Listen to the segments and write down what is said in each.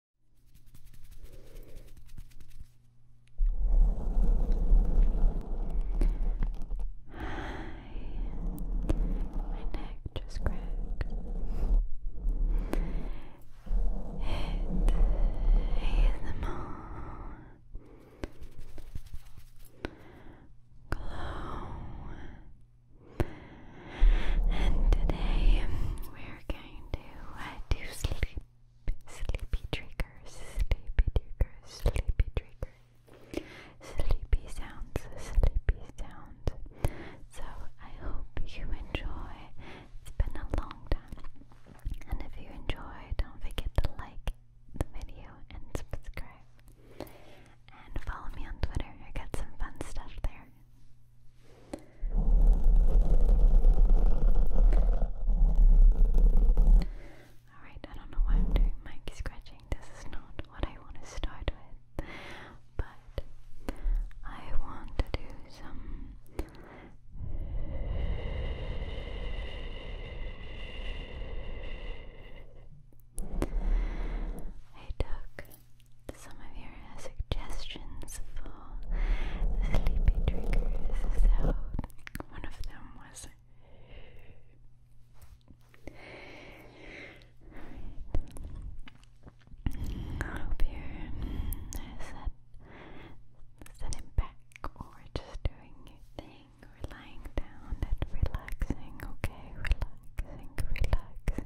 My neck just cracked. It ASMR glow and today we're going to uh, do sleep, sleepy triggers, sleepy triggers, sleepy triggers, sleepy sounds, sleepy sounds. So I hope you enjoy. It's been a long time, and if you enjoy, don't forget to like the video and subscribe. And follow me on Twitter. I got some fun stuff there. Alright, I don't know why I'm doing mic scratching. This is not what I want to start with. But I want to do some I took some of your uh, suggestions for sleepy triggers. So, one of them was. I hope you're uh, back or just doing your thing, or lying down and relaxing, okay? Relaxing, relaxing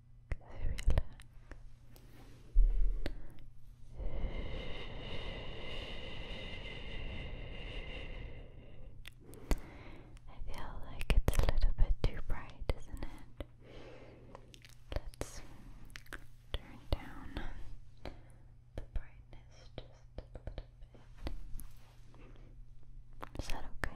I feel like it's a little bit too bright, isn't it? Let's turn down the brightness just a little bit. Is that okay?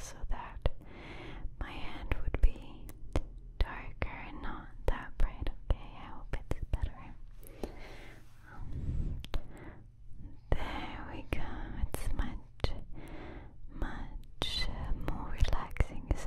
so that my hand would be darker and not that bright. Okay, I hope it's better. there we go. It's much, much more relaxing, is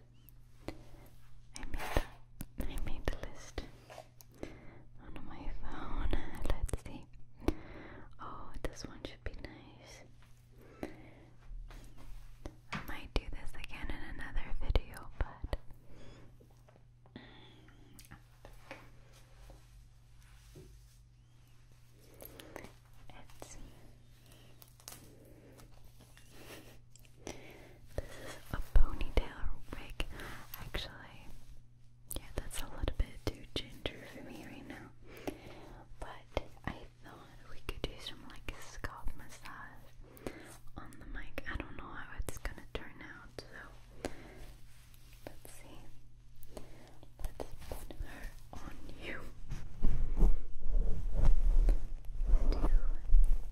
I made a, I made a list on my phone. Let's see. Oh, this one should be nice. I might do this again in another video, but. Mm, it's this is a ponytail wig, actually. Yeah, that's a little bit too ginger for me right now. But I thought we could do some like scalp massage on the mic. I don't know how it's gonna turn out, so let's see. Let's put her on you.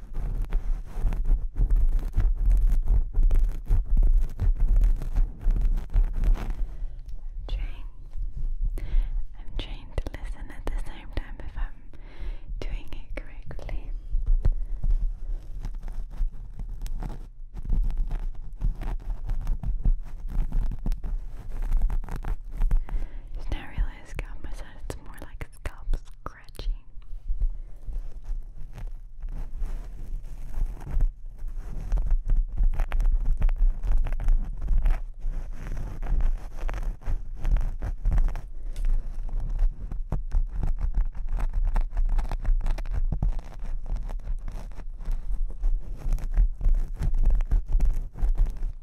I'm trying I'm trying to listen at the same time if I'm doing it correctly. Just now I realized scalp massage it's more like like scalp scratching.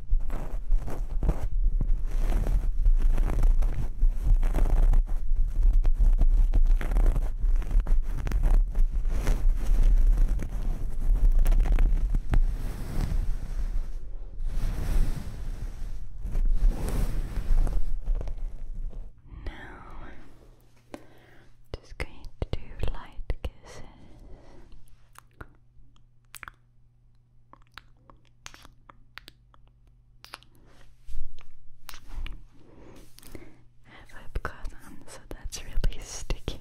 Now, just going to do light kisses. I have lip gloss on, so that's really sticky.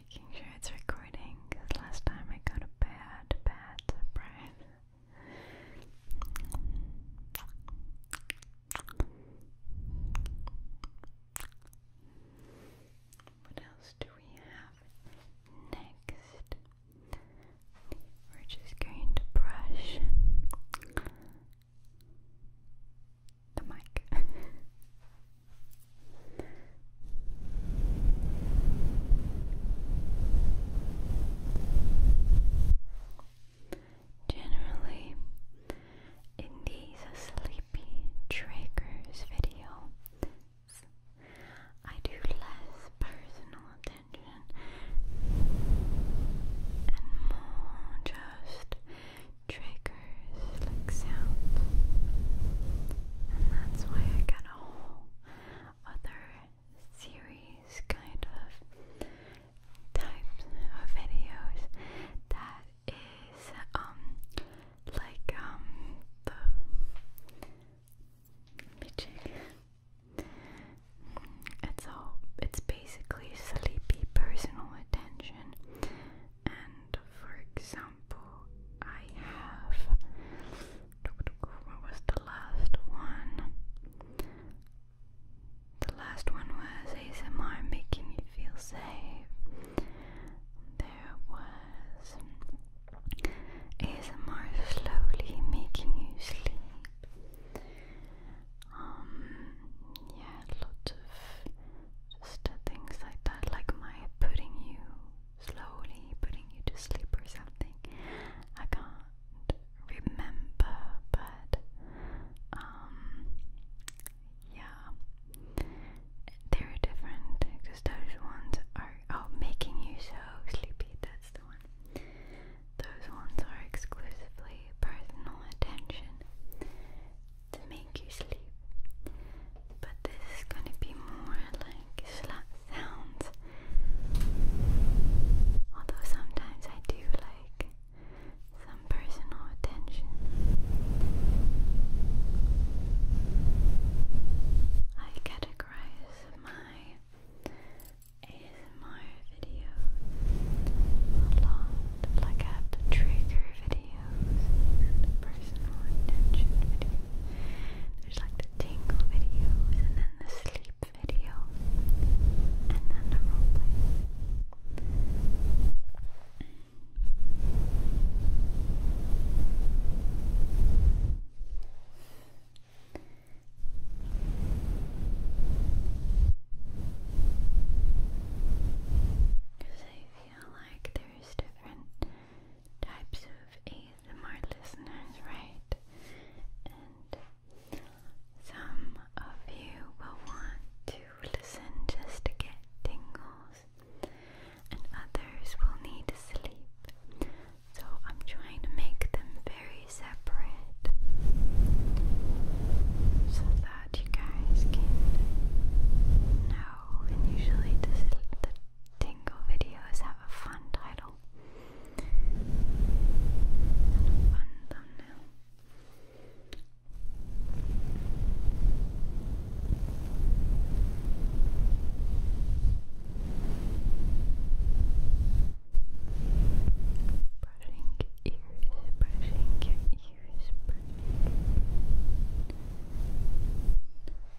making sure it's recording because last time I got a bad, bad surprise. What else do we have next? We're just going to brush the mic. Generally, in these sleepy triggers videos, I do less personal attention and more just triggers like sounds, and that's why I got other series kind of types of videos that is um like um the It's all it's basically sleepy personal attention and for example shampoo I have. What was the last one? The last one was ASMR making you feel safe. There was ASMR slowly making you sleep. Um, yeah, lots of just uh, things like that, like my putting you slowly putting you to sleep or something. I can't remember, but um, yeah, they're different because those ones are oh, making you so sleepy. That's the one. Those ones are exclusively personal attention to me make you sleep. But this is gonna be more like slap sounds. Although sometimes I do like some personal attention. I categorize my ASMR videos a lot, like I have the trigger video videos, the There's like the tingle videos, and then the sleep video, and then the roleplay. Because I feel like there's different types of ASMR listeners, right? And some of you will want to listen just to get tingles, and others will need sleep. So I'm trying to make them very separate so that you guys can know. And usually, this, the tingle videos have a fun title fun thumbnail. Brushing ears, brushing ears, brushing.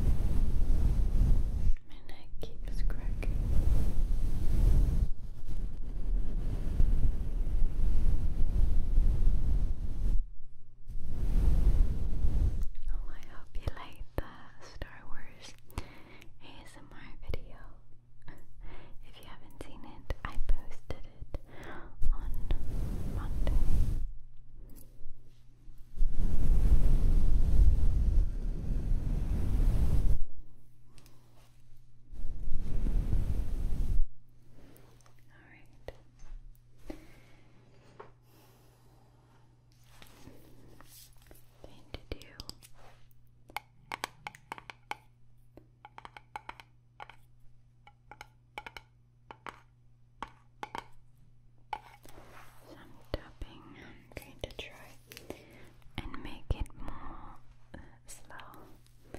My neck keeps cracking. Oh, I hope you like the Star Wars ASMR video. if you haven't seen it, I posted it on Monday right. Thing to do. Right some tapping. I'm going to try and make it more uh, slow, slower.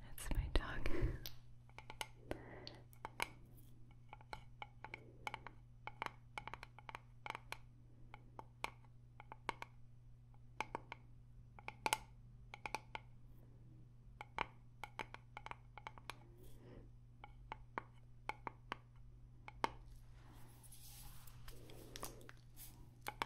That's my dog.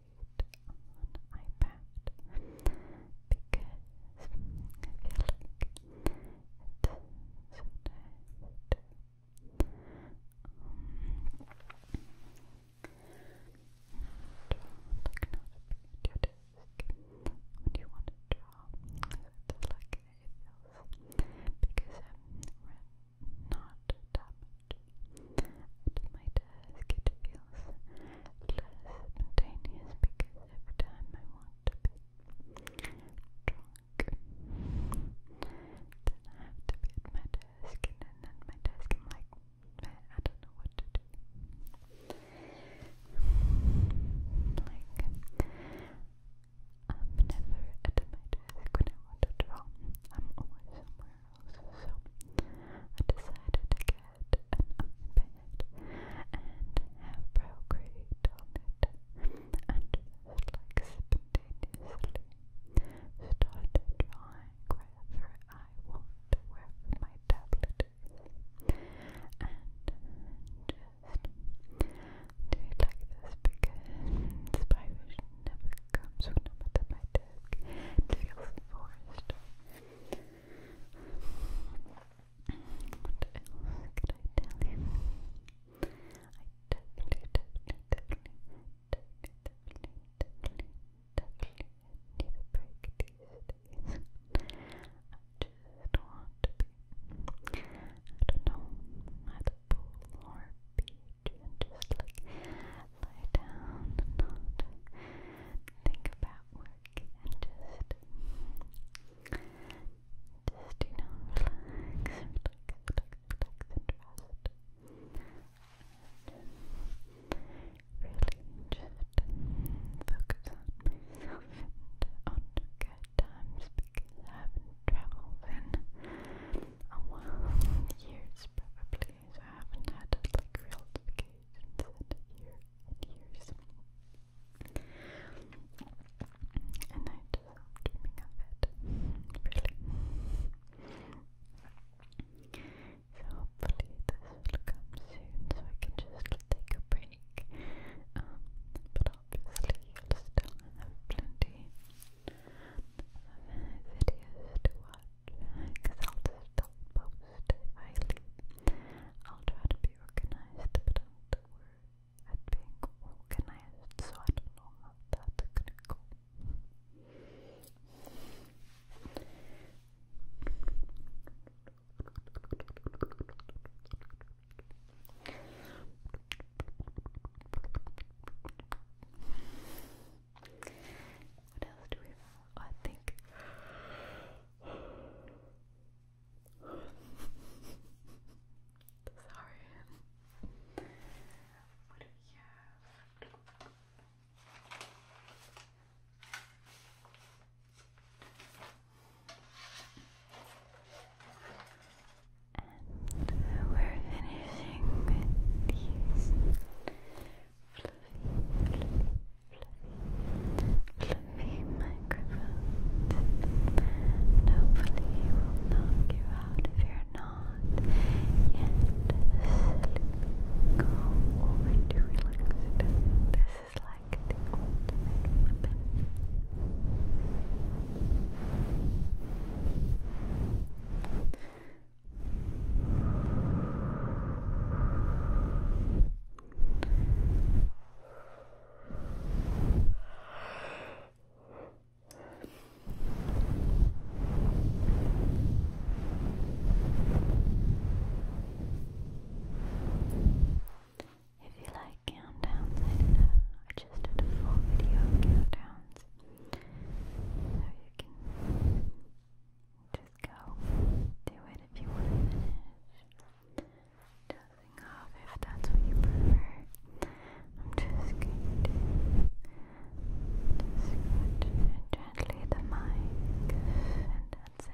on iPad because I feel like so nice. Um, draw, like not your desk when you want to draw. It's like it feels because I'm not that my desk it feels less spontaneous because every time I want to be drunk, then I have to be at my desk and then at my desk I'm like, I don't know what to do. Like, I'm never at my desk when I want to draw. I'm always somewhere house, so I decided to get an iPad and have procreate on it and like spontaneously started drawing wherever I want, wherever my tablet and just do like this because inspiration never comes when i at my desk. It feels forced could I tell you? I definitely, definitely, definitely, definitely, definitely, definitely need a break these days. I just want to be, I don't know, at the pool or beach and just like lie down not think about work and just just you know relax, relax, relax, and rest. really just focus on myself on good times because I haven't traveled in a while, years probably days. I haven't had like real vacations in and years. And I just dreaming of it. Really. So hopefully this will come soon so I can just take a break. Um, but obviously you still have plenty of videos to watch because I'll just don't post if I will try to be organized, but I'm the word at being organized, so I don't know how that's gonna go. What else do we have? Oh, I think. Sorry. What do we have? we're finishing with these fluffy microphones and hopefully you will knock you out if you're not yet Go over to relaxed. This is like the ultimate if you like countdowns, I just did a full video of countdowns, you can just go do it if you want to finish. Dozing off if that's what you prefer. I'm just going to gently the mic, and that's it.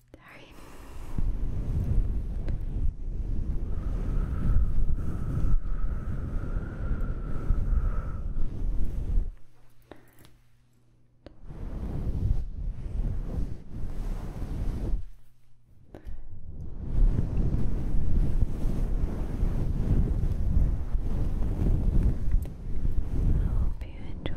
Sorry. I hope you enjoyed